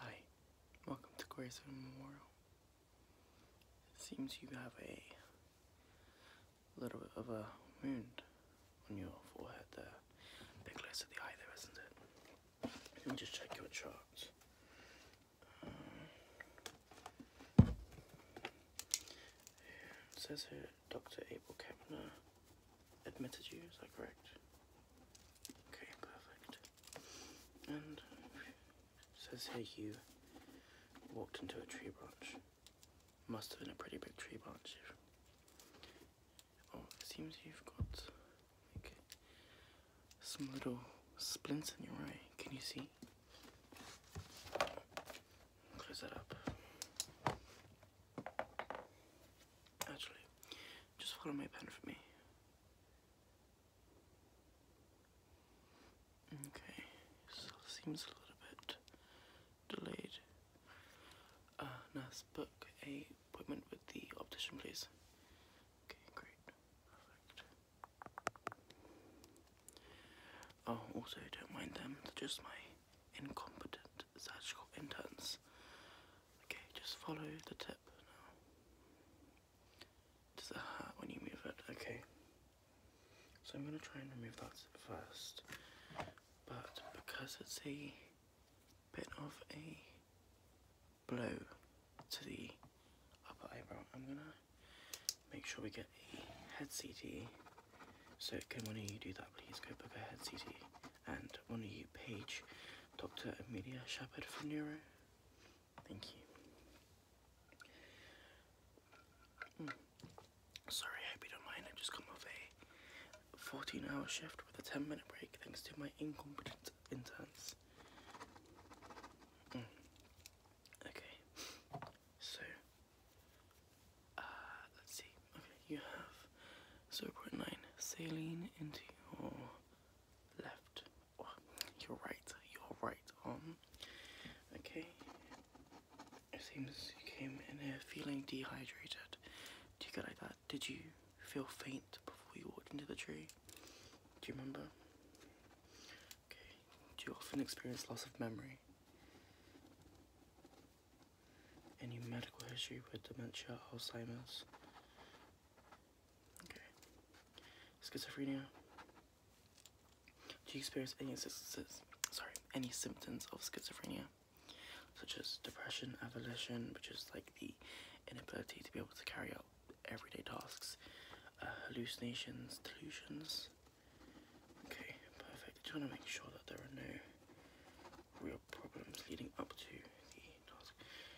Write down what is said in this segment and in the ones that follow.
Hi, welcome to Grayson Memorial. It seems you have a little bit of a wound on your forehead there. A bit less to the eye there, isn't it? Let me just check your charts. Um, says here Dr. Abel Kepner admitted you, is that correct? Okay, perfect. And says here you walked into a tree branch. Must have been a pretty big tree branch. Oh, it seems you've got some little splints in your eye. Can you see? Close that up. Actually, just follow my pen for me. Okay, so seems a little bit delayed. Uh, nurse, book a appointment with the optician, please. Okay, great. Perfect. Oh, also, don't mind them. they just my incompetent surgical interns. Okay, just follow the tip now. Does it hurt when you move it? Okay. So I'm going to try and remove that first. But because it's a bit of a blow to the upper eyebrow, I'm going to make sure we get a head CT. So can one of you do that please? Go book a head CT and honour you, page, Dr. Amelia Shepherd from Neuro. Thank you. Hmm. Sorry, I don't mind. i just come off a 14 hour shift with a 10 minute break thanks to my incompetent interns. Hmm. Okay, so uh, let's see, okay, you have 0.9 saline into your left, oh, your right, your right arm, okay, it seems you came in here feeling dehydrated, do you get like that, did you feel faint before you walked into the tree, do you remember, okay, do you often experience loss of memory? any medical history with dementia, Alzheimer's. Schizophrenia. Do you experience any sorry, any symptoms of schizophrenia? Such as depression, avolition, which is like the inability to be able to carry out everyday tasks, uh, hallucinations, delusions. Okay, perfect. I just want to make sure that there are no real problems leading up to the task.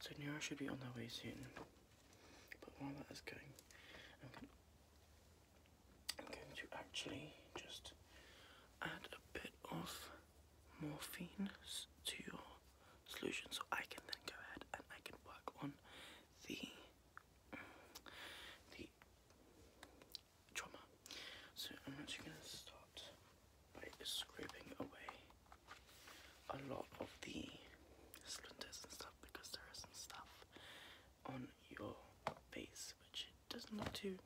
So Nero should be on their way soon. But while that is going, I'm going, to actually just add a bit of morphine to your solution so I can then go ahead and I can work on the mm, the trauma. So I'm actually going to start by scraping away a lot of the splinters and stuff because there is some stuff on your face which doesn't look too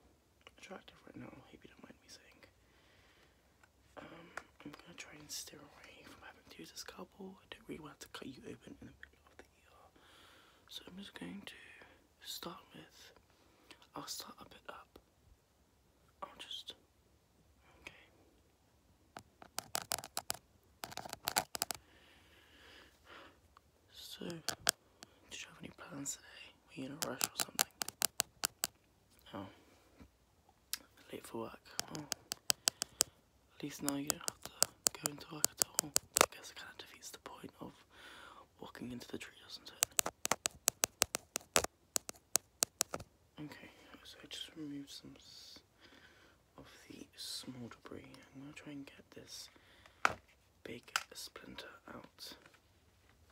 attractive right now. I you don't mind me saying. Um, I'm going to try and steer away from having to use a scalpel. I don't really want to cut you open in the middle of the ear. So I'm just going to start with, I'll start a bit up. I'll just, okay. So, did you have any plans today? We you in a rush or something? Oh, late for work. Oh, at least now you don't have to go into work at all. Because it kind of defeats the point of walking into the tree, doesn't it? Okay, so I just removed some of the small debris. I'm going to try and get this big splinter out.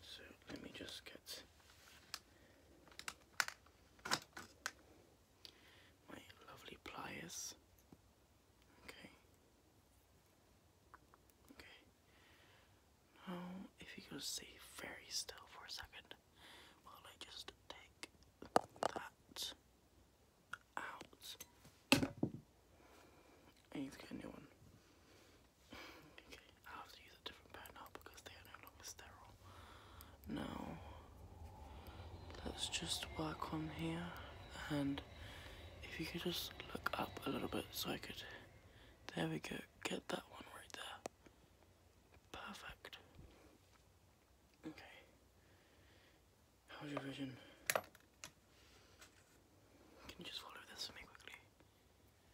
So let me just get my lovely pliers. Okay. Okay. Now, if you could stay very still for a second, while I just take that out. I need to get Okay, I have to use a different pen now because they are no longer sterile. Now, let's just work on here and if you could just look up a little bit so I could, there we go, get that one right there. Perfect. Okay. How's your vision? Can you just follow this for me quickly?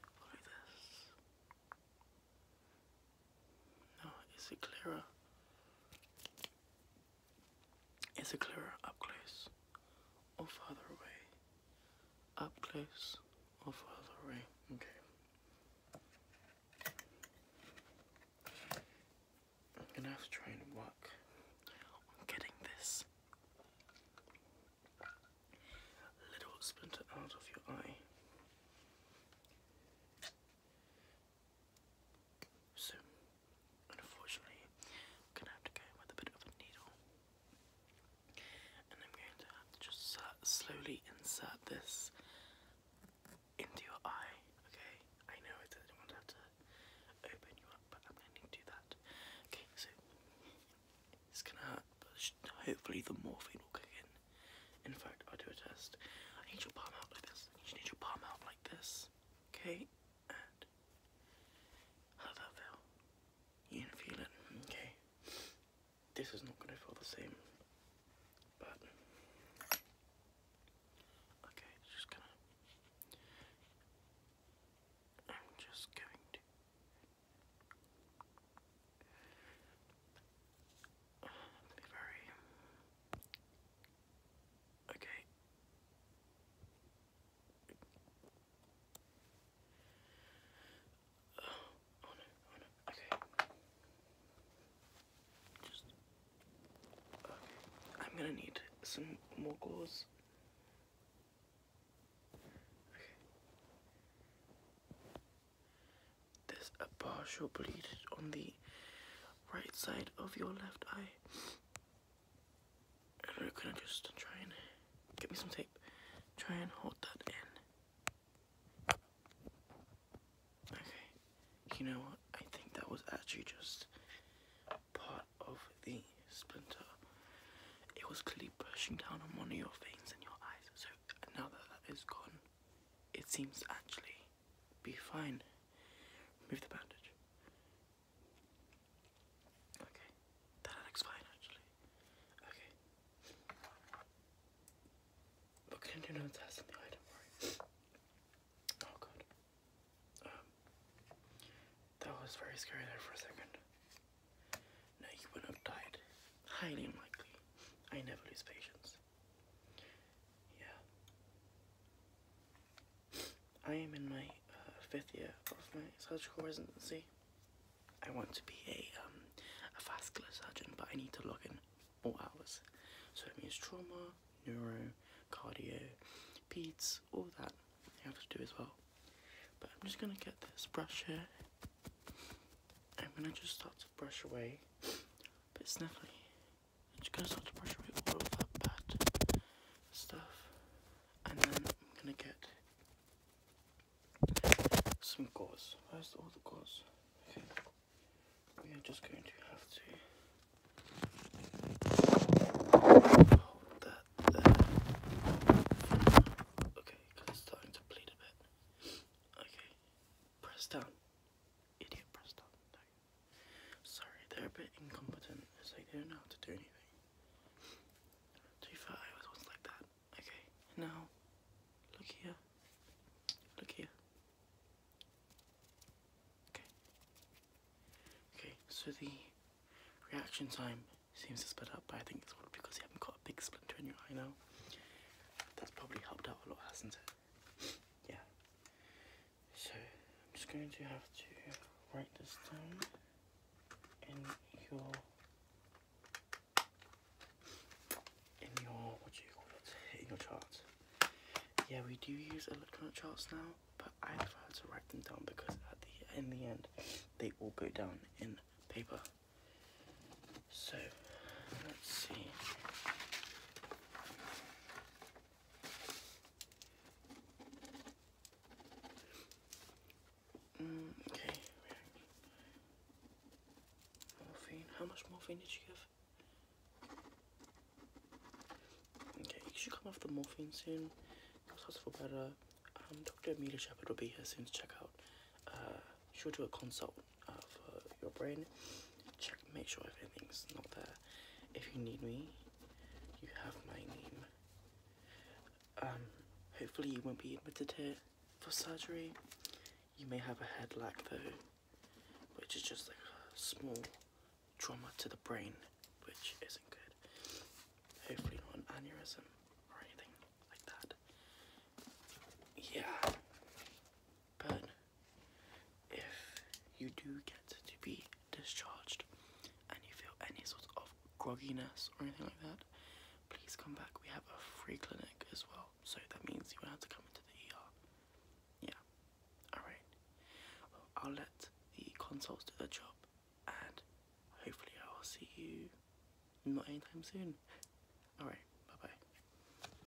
Follow this. No, is it clearer? Is it clearer up close or further away? Up close or further away? Okay. I'm gonna have to try and work on getting this little splinter out of your eye. So Unfortunately, I'm gonna have to go with a bit of a needle. And I'm going to have to just slowly insert this into your eye, okay? I know I don't want to have to open you up, but I'm going to do that. Okay, so it's gonna hurt, but hopefully the morphine will kick in. In fact, I'll do a test. I need your palm out like this. you to need your palm out like this, okay? and how that felt. You can feel it, okay? This is not gonna feel the same, but okay, just gonna. I'm just going to. Be very Okay. Oh, no, oh no, okay. Just, okay. I'm gonna need some more gauze. Okay. There's a partial bleed on the right side of your left eye. And we just try and get me some tape. Try and hold that in. Okay. You know what? I think that was actually just part of the splinter. It was clearly brushing down on one of your veins in your eyes. So now that that is gone, it seems to actually be fine. Remove the bandage. Okay, that looks actually. Okay. But I don't worry. Oh god. Um, that was very scary there for a second. No, you would have died. Highly unlikely. I never lose patience. Yeah. I am in my uh, fifth year of my surgical residency. I want to be um, a, vascular surgeon, but I need to log in all hours. So it means trauma, neuro, cardio, peds, all that you have to do as well. But I'm just gonna get this brush here. I'm gonna just start to brush away, but sniffly. And gonna start to brush away all that bad stuff. And then I'm gonna get some gauze. Where's all the gauze? Okay. We are just going to have to hold that there. Okay, it's starting to bleed a bit. Okay. Press down. Idiot press down. Sorry, they're a bit incompetent. It's like they don't know how to do anything. To be I was once like that. Okay, now, look here. Look here. Okay. Okay, so the reaction time seems to split up, but I think it's all because you haven't got a big splinter in your eye now. That's probably helped out a lot, hasn't it? yeah. So I'm just going to have to write this down in your in your what do you call it? In your chart. Yeah, we do use electronic charts now, but I prefer to write them down because at the in the end they all go down in paper. So let's see. Mm, okay. Morphine. How much morphine did she give? Okay, you should come off the morphine soon. Yourselves for better. Um, Dr. Amelia Shepherd will be here soon to check out. Uh, she'll do a consult of uh, your brain. Check, make sure everything's not there. If you need me, you have my name. Um, hopefully you won't be admitted here for surgery. You may have a head lack though, which is just like a small trauma to the brain, which isn't good. Hopefully not an aneurysm or anything like that. Yeah. But if you do get to be discharged and you feel any sort of grogginess or anything like that, please come back. We have a free clinic as well, so that means you won't have to come into the ER. Yeah, alright. I'll let the consults do their job, and hopefully, I'll see you not anytime soon. Alright, bye bye.